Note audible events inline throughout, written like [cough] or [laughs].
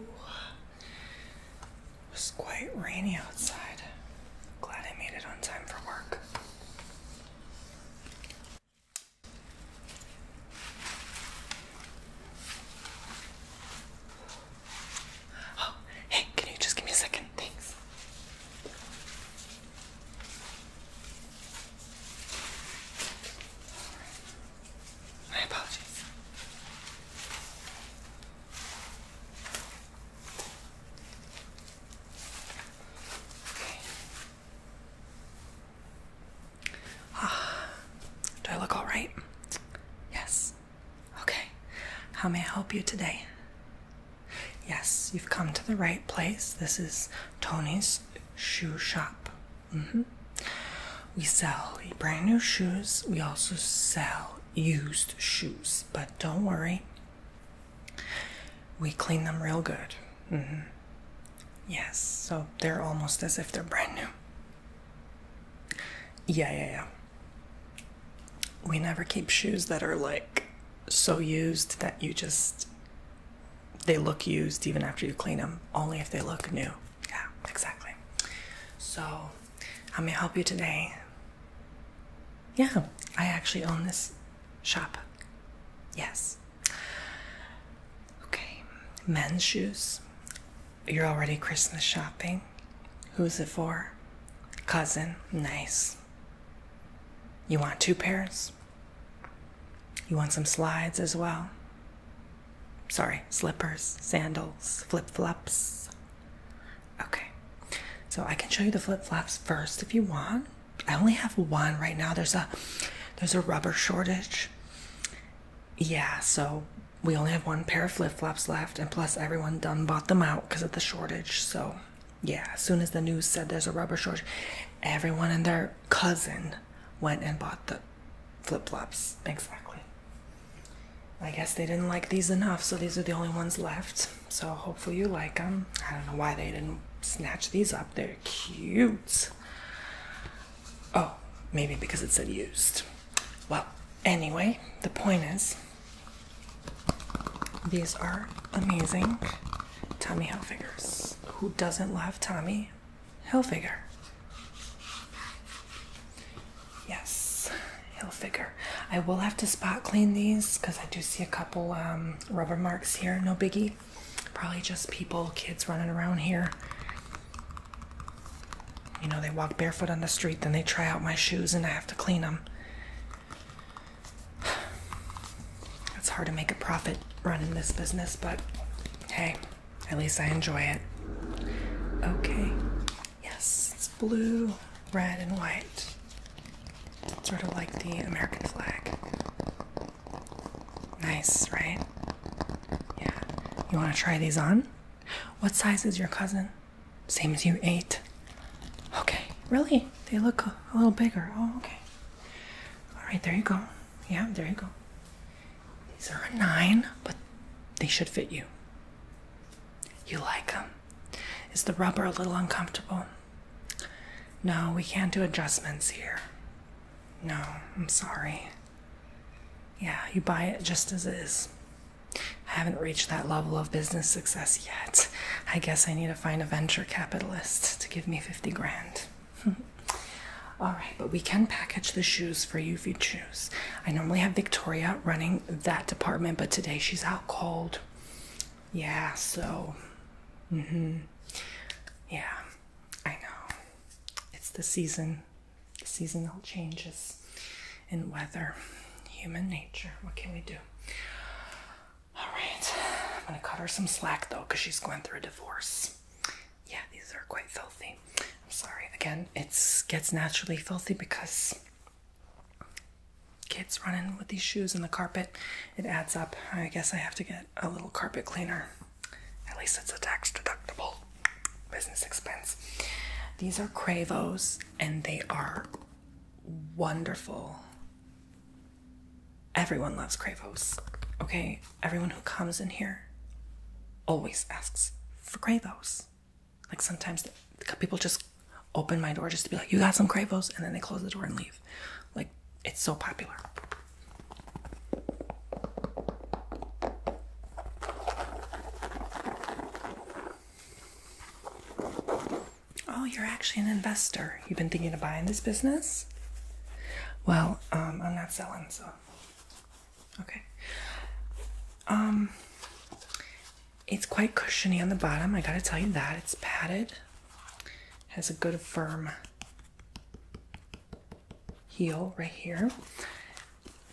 It was quite rainy outside. Glad I made it on time for work. Oh, hey, can you just give me a second? Thanks. My apologies. Okay. Ah, do I look all right? Yes. Okay. How may I help you today? Yes, you've come to the right place. This is Tony's shoe shop. Mm -hmm. We sell brand new shoes. We also sell used shoes, but don't worry, we clean them real good. Mm -hmm. Yes, so they're almost as if they're brand new. Yeah, yeah, yeah. We never keep shoes that are like so used that you just they look used even after you clean them, only if they look new. Yeah, exactly. So, I'm gonna help you today? Yeah, I actually own this shop. Yes. Okay, men's shoes. You're already Christmas shopping. Who's it for? Cousin. Nice. You want two pairs? You want some slides as well? Sorry, slippers, sandals, flip flops. Okay, so I can show you the flip flops first if you want. I only have one right now. There's a there's a rubber shortage. Yeah, so we only have one pair of flip flops left, and plus everyone done bought them out because of the shortage. So yeah, as soon as the news said there's a rubber shortage, everyone and their cousin went and bought the flip flops. Exactly. I guess they didn't like these enough, so these are the only ones left. So hopefully you like them. I don't know why they didn't snatch these up. They're cute. Oh, maybe because it's said used. Well, anyway, the point is these are amazing Tommy figures. Who doesn't love Tommy by Hilfiger. Yes, Hilfiger. I will have to spot clean these because I do see a couple um, rubber marks here. No biggie. Probably just people, kids running around here. You know, they walk barefoot on the street, then they try out my shoes and I have to clean them. It's hard to make a profit running this business, but hey, at least I enjoy it. Okay. Yes, it's blue, red, and white. Sort of like the American flag. Nice, right? Yeah. You want to try these on? What size is your cousin? Same as you, eight. Okay. Really? They look a, a little bigger. Oh, okay. All right, there you go. Yeah, there you go. These are a nine, but they should fit you. You like them. Is the rubber a little uncomfortable? No, we can't do adjustments here. No, I'm sorry. Yeah, you buy it just as is. I haven't reached that level of business success yet. I guess I need to find a venture capitalist to give me 50 grand. [laughs] All right, but we can package the shoes for you if you choose. I normally have Victoria running that department, but today she's out cold. Yeah, so. Mm hmm. Yeah, I know. It's the season. seasonal changes in weather, human nature. What can we do? All right, I'm gonna cut her some slack though, because she's going through a divorce yeah, these are quite filthy. I'm sorry. Again, it gets naturally filthy because kids running with these shoes in the carpet, it adds up. I guess I have to get a little carpet cleaner. At least it's a tax deductible business expense. These are Cravos and they are wonderful Everyone loves Kravos. Okay? Everyone who comes in here always asks for Kravos. Like sometimes people just open my door just to be like, you got some Kravos? And then they close the door and leave. Like, it's so popular. Oh, you're actually an investor. You've been thinking of buying this business? Well, um, I'm not selling so, Okay. Um it's quite cushiony on the bottom, I gotta tell you that. It's padded, has a good firm heel right here.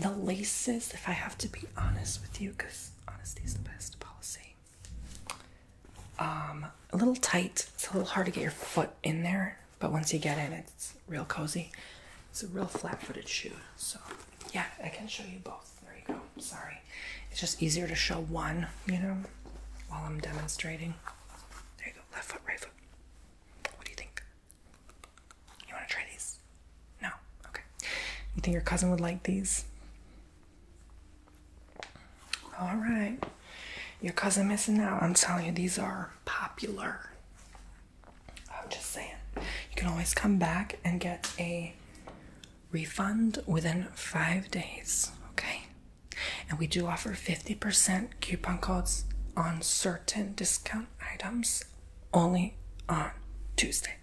The laces, if I have to be honest with you, because honesty is the best policy. Um, a little tight, it's a little hard to get your foot in there. But once you get in, it's real cozy. It's a real flat-footed shoe. So yeah, I can show you both. There you go. Sorry. It's just easier to show one, you know, while I'm demonstrating. There you go. Left foot, right foot. What do you think? You want to try these? No? Okay. You think your cousin would like these? All right. Your cousin missing out. I'm telling you, these are popular. I'm just saying. You can always come back and get a refund within five days. Okay. And we do offer 50% coupon codes on certain discount items only on Tuesday.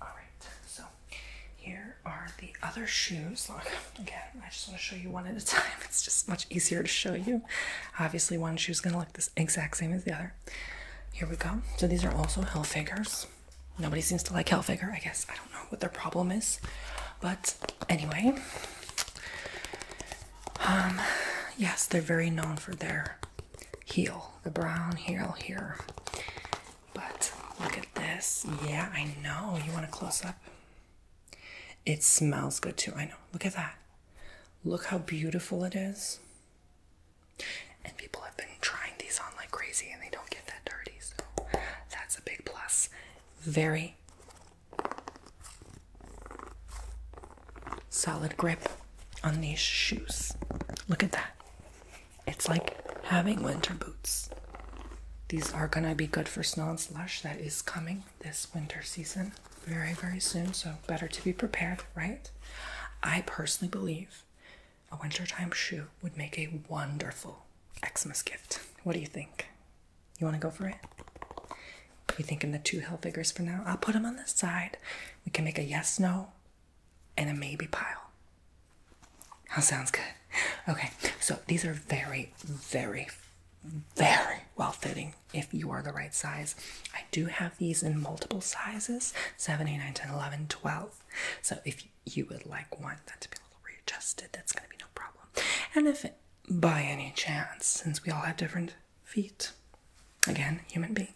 Alright, so here are the other shoes. [laughs] again, I just want to show you one at a time. [laughs] It's just much easier to show you. Obviously, one shoe is going to look this exact same as the other. Here we go. So these are also heel figures. Nobody seems to like heel figure. I guess. I don't know what their problem is. But anyway, um, yes, they're very known for their heel, the brown heel here. But look at this. Yeah, I know. You want a close up? It smells good too. I know. Look at that. Look how beautiful it is. And people have been trying these on like crazy and they don't get that dirty. So that's a big plus. Very solid grip on these shoes. Look at that. It's like having winter boots. These are gonna be good for snow and slush that is coming this winter season very, very soon. So, better to be prepared, right? I personally believe a wintertime shoe would make a wonderful Xmas gift. What do you think? You wanna go for it? We're thinking the two hill figures for now? I'll put them on the side. We can make a yes, no, and a maybe pile. That sounds good. Okay, so these are very, very, very well fitting if you are the right size. I do have these in multiple sizes 7, 8, 9, 10, 11, 12. So if you would like one that to be a little readjusted, that's going to be no problem. And if by any chance, since we all have different feet, again, human being,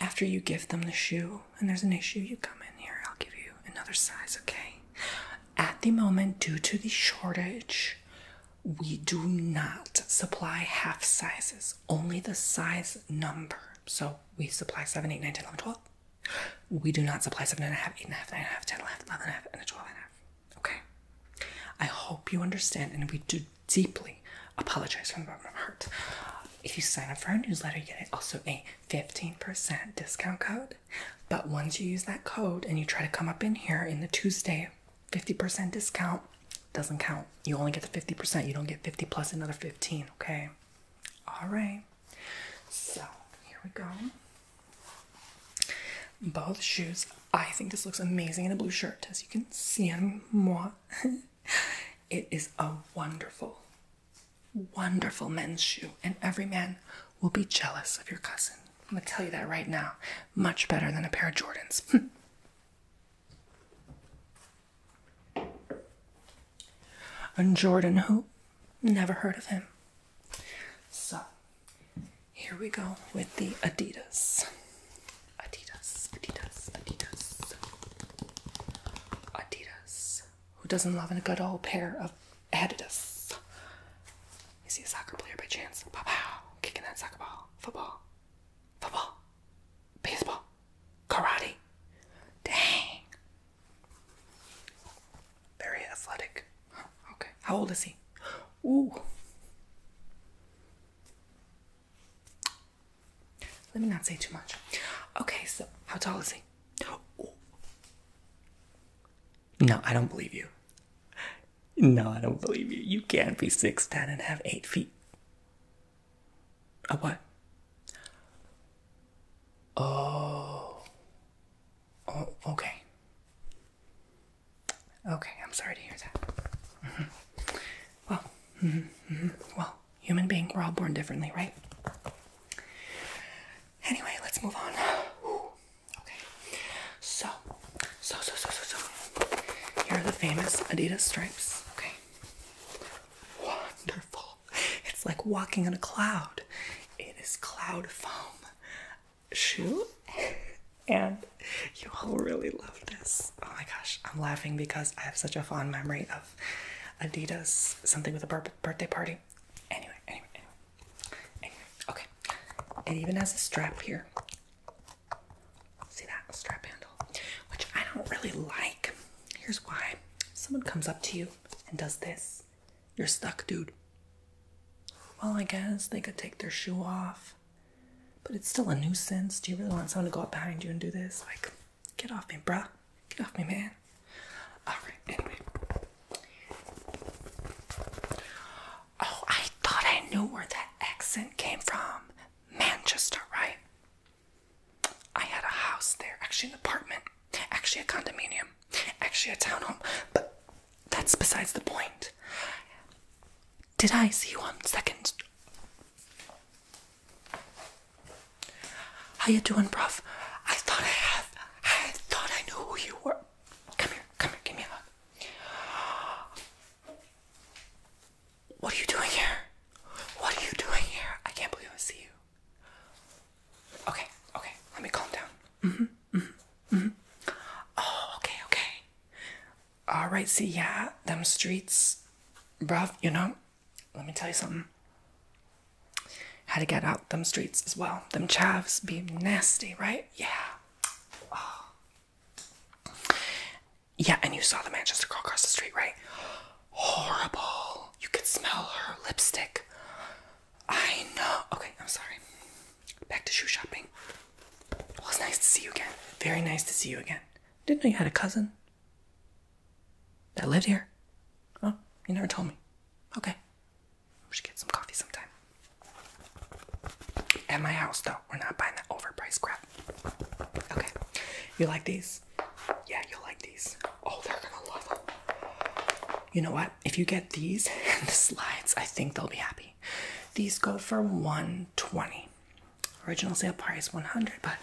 after you give them the shoe, and there's an issue, you come in here. I'll give you another size, okay? At the moment, due to the shortage, we do not supply half sizes, only the size number. So we supply 7, 8, 9, 10, 11, 12. We do not supply 7 and a half, Okay? I hope you understand, and we do deeply apologize from the bottom of my heart. If you sign up for our newsletter, you get also a 15% discount code. But once you use that code and you try to come up in here in the Tuesday 50% discount, doesn't count. You only get the 50%. You don't get 50 plus another 15, okay? All right. So, here we go. Both shoes. I think this looks amazing in a blue shirt. As you can see, I'm moi. [laughs] it is a wonderful wonderful men's shoe, and every man will be jealous of your cousin. I'm gonna tell you that right now. Much better than a pair of Jordans. [laughs] and Jordan, who never heard of him. So here we go with the Adidas. Adidas, Adidas, Adidas, Adidas. Who doesn't love a good old pair of adidas? You see a soccer player by chance? Pow pow, kicking that soccer ball, football, football, baseball, karate. Dang. Very athletic. Okay. How old is he? Ooh. Let me not say too much. Okay, so how tall is he? No, I don't believe you. No, I don't believe you. You can't be six ten and have eight feet. A what? Oh. oh okay. Okay, I'm sorry to hear that. Mm-hmm. Well, mm-hmm, mm-hmm, well, human being. We're all born differently, right? Anyway, let's move on. okay. So, so, so, so, so, Here are the famous Adidas stripes. Okay. Wonderful. It's like walking on a cloud. It is cloud foam shoe. And you all really love this. Oh my gosh, I'm laughing because I have such a fond memory of Adidas, something with a purple birthday party. Anyway, anyway, anyway. okay. It even has a strap here. See that strap handle? Which I don't really like. Here's why. Someone comes up to you and does this. You're stuck, dude. Well, I guess they could take their shoe off. But it's still a nuisance. Do you really want someone to go up behind you and do this? Like, Get off me, bruh. Get off me, man. Alright, anyway. Oh, I thought I knew where that accent came from. Manchester, right? I had a house there, actually an apartment, actually a condominium, actually a townhome, but that's besides the point. Did I see you on second? How you doing, bruv? I thought I had I thought I knew who you were. Come here, come here, give me a hug. What are you doing here? What are you doing here? I can't believe I see you. Okay, okay, let me calm down. hmm hmm hmm Oh, okay, okay. Alright, see ya. them streets, bruv, you know, let me tell you something. Had to get out them streets as well. Them chavs be nasty, right? Yeah. Oh. Yeah, and you saw the Manchester girl cross the street, right? Horrible. You could smell her lipstick. I know. Okay, I'm sorry. Back to shoe shopping. Well, it's nice to see you again. Very nice to see you again. Didn't know you had a cousin. That lived here? Oh, you never told me. Okay. We should get some coffee sometime. At my house, though. We're not buying that overpriced crap. Okay. You like these? Yeah, you'll like these. Oh, they're gonna love them. You know what? If you get these [laughs] and the slides, I think they'll be happy. These go for 120. Original sale price 100, but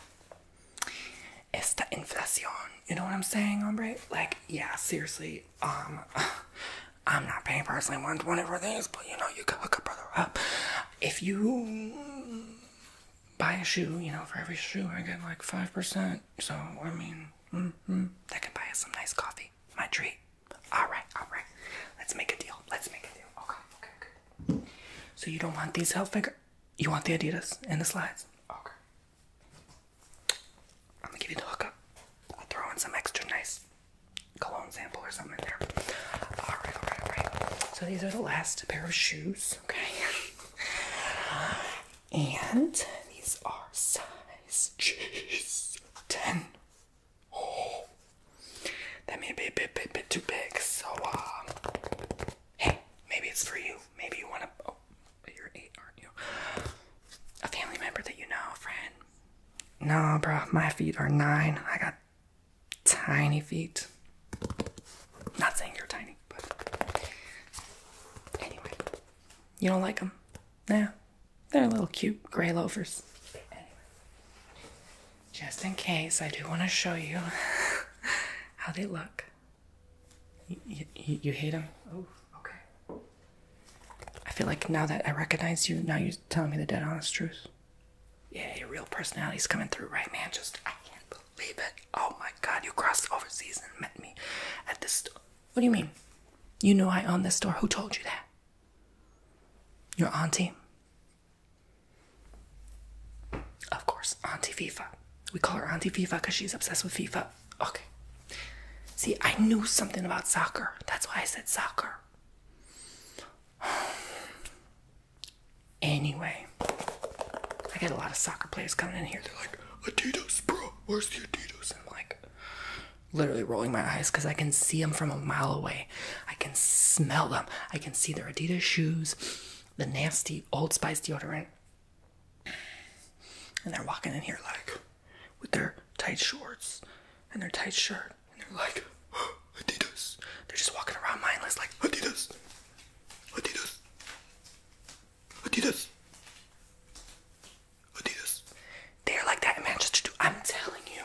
it's the inflation. You know what I'm saying, hombre? Like, yeah, seriously. Um, [sighs] I'm not paying personally 120 for these, but you know, you can hook a brother up. If you buy a shoe, you know, for every shoe I get like 5%. So, I mean, mm -hmm, that can buy us some nice coffee. My treat. All right, all right. Let's make a deal. Let's make a deal. Okay, okay, okay. So you don't want these figure. You want the Adidas and the slides? Okay. I'm gonna give you the hookup. I'll throw in some extra nice cologne sample or something there. Alright, alright, alright. So these are the last pair of shoes, okay? [laughs] and these are size Jeez, 10. [gasps] that may be a bit, bit, bit too big, so uh, hey, maybe it's for you. Maybe you want to. Oh, you're eight, aren't you? A family member that you know, friend. Nah, bro, my feet are nine. I got tiny feet. Not saying you're tiny, but anyway, you don't like them. Nah, they're little cute gray loafers. just in case, I do want to show you [laughs] how they look. You, you, hate him? Oh, okay. I feel like now that I recognize you, now you're telling me the dead honest truth. Yeah, your real personality's coming through, right, man? Just, I can't believe it. Oh my god, you crossed overseas and met me at this store. What do you mean? You knew I owned this store. Who told you that? Your auntie? Of course, Auntie FIFA. We call her Auntie FIFA because she's obsessed with FIFA. Okay. See, I knew something about soccer. That's why I said soccer. [sighs] Anyway, I get a lot of soccer players coming in here. They're like, Adidas, bro, where's the Adidas? I'm like, literally rolling my eyes because I can see them from a mile away. I can smell them. I can see their Adidas shoes the nasty Old Spice deodorant. And they're walking in here like with their tight shorts and their tight shirt. And they're like, oh, [gasps] Adidas. They're just walking around mindless like, Adidas. Adidas. Adidas. Adidas. They're like that in Manchester too. I'm telling you,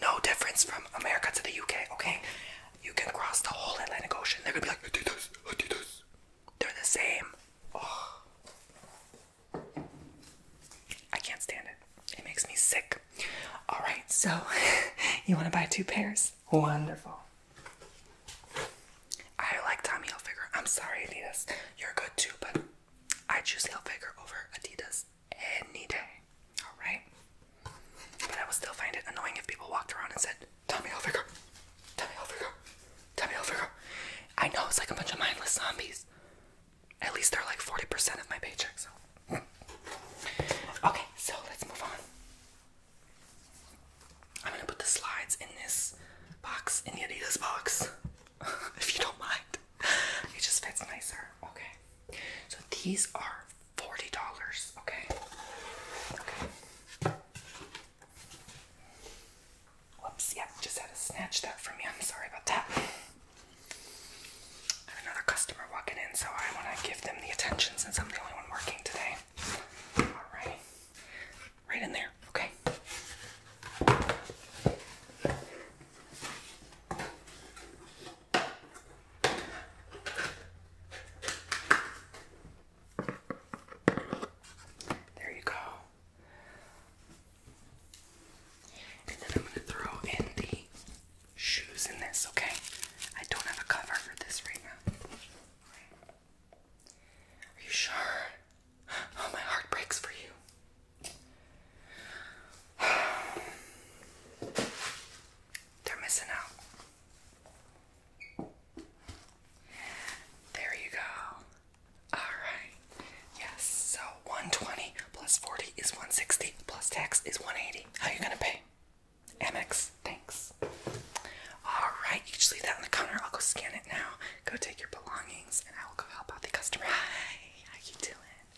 no difference from America to the UK, okay? You can cross the whole Atlantic Ocean. They're gonna be like Adidas, Adidas. They're the same. Oh. I can't stand it. It makes me sick. All right, so [laughs] you want to buy two pairs? Wonderful. I like Tommy Hilfiger. I'm sorry, Adidas. You're good too, but I choose Hilfiger over Adidas any day. All right. But I will still find it annoying if people walked around and said, Tommy Hilfiger. Tommy Hilfiger. Tommy Hilfiger. I know it's like a bunch of mindless zombies. At least they're like 40% of my paycheck, so. [laughs] okay, so let's move on. I'm gonna put the slides in this box, in the Adidas box, [laughs] if you don't mind. It just fits nicer. Okay. So these are forty dollars. Okay. Okay. Whoops. Yeah, just had to snatch that from you. I'm sorry about that. I have another customer walking in, so I want to give them the attention since I'm the only one working today. All right. Right in there. Okay. There you go. And then I'm going to throw in the shoes in this, okay? I don't have a cover for this right now. Are you sure? Oh, my heart breaks for you. [sighs] They're missing out. There you go. Alright. Yes, so 120 plus 40 is 160 plus tax is 180. How are you gonna pay? Amex, thanks. Alright, you just leave that on the counter. I'll go scan it now. Go take your belongings and I will go help out the customer. how you doing?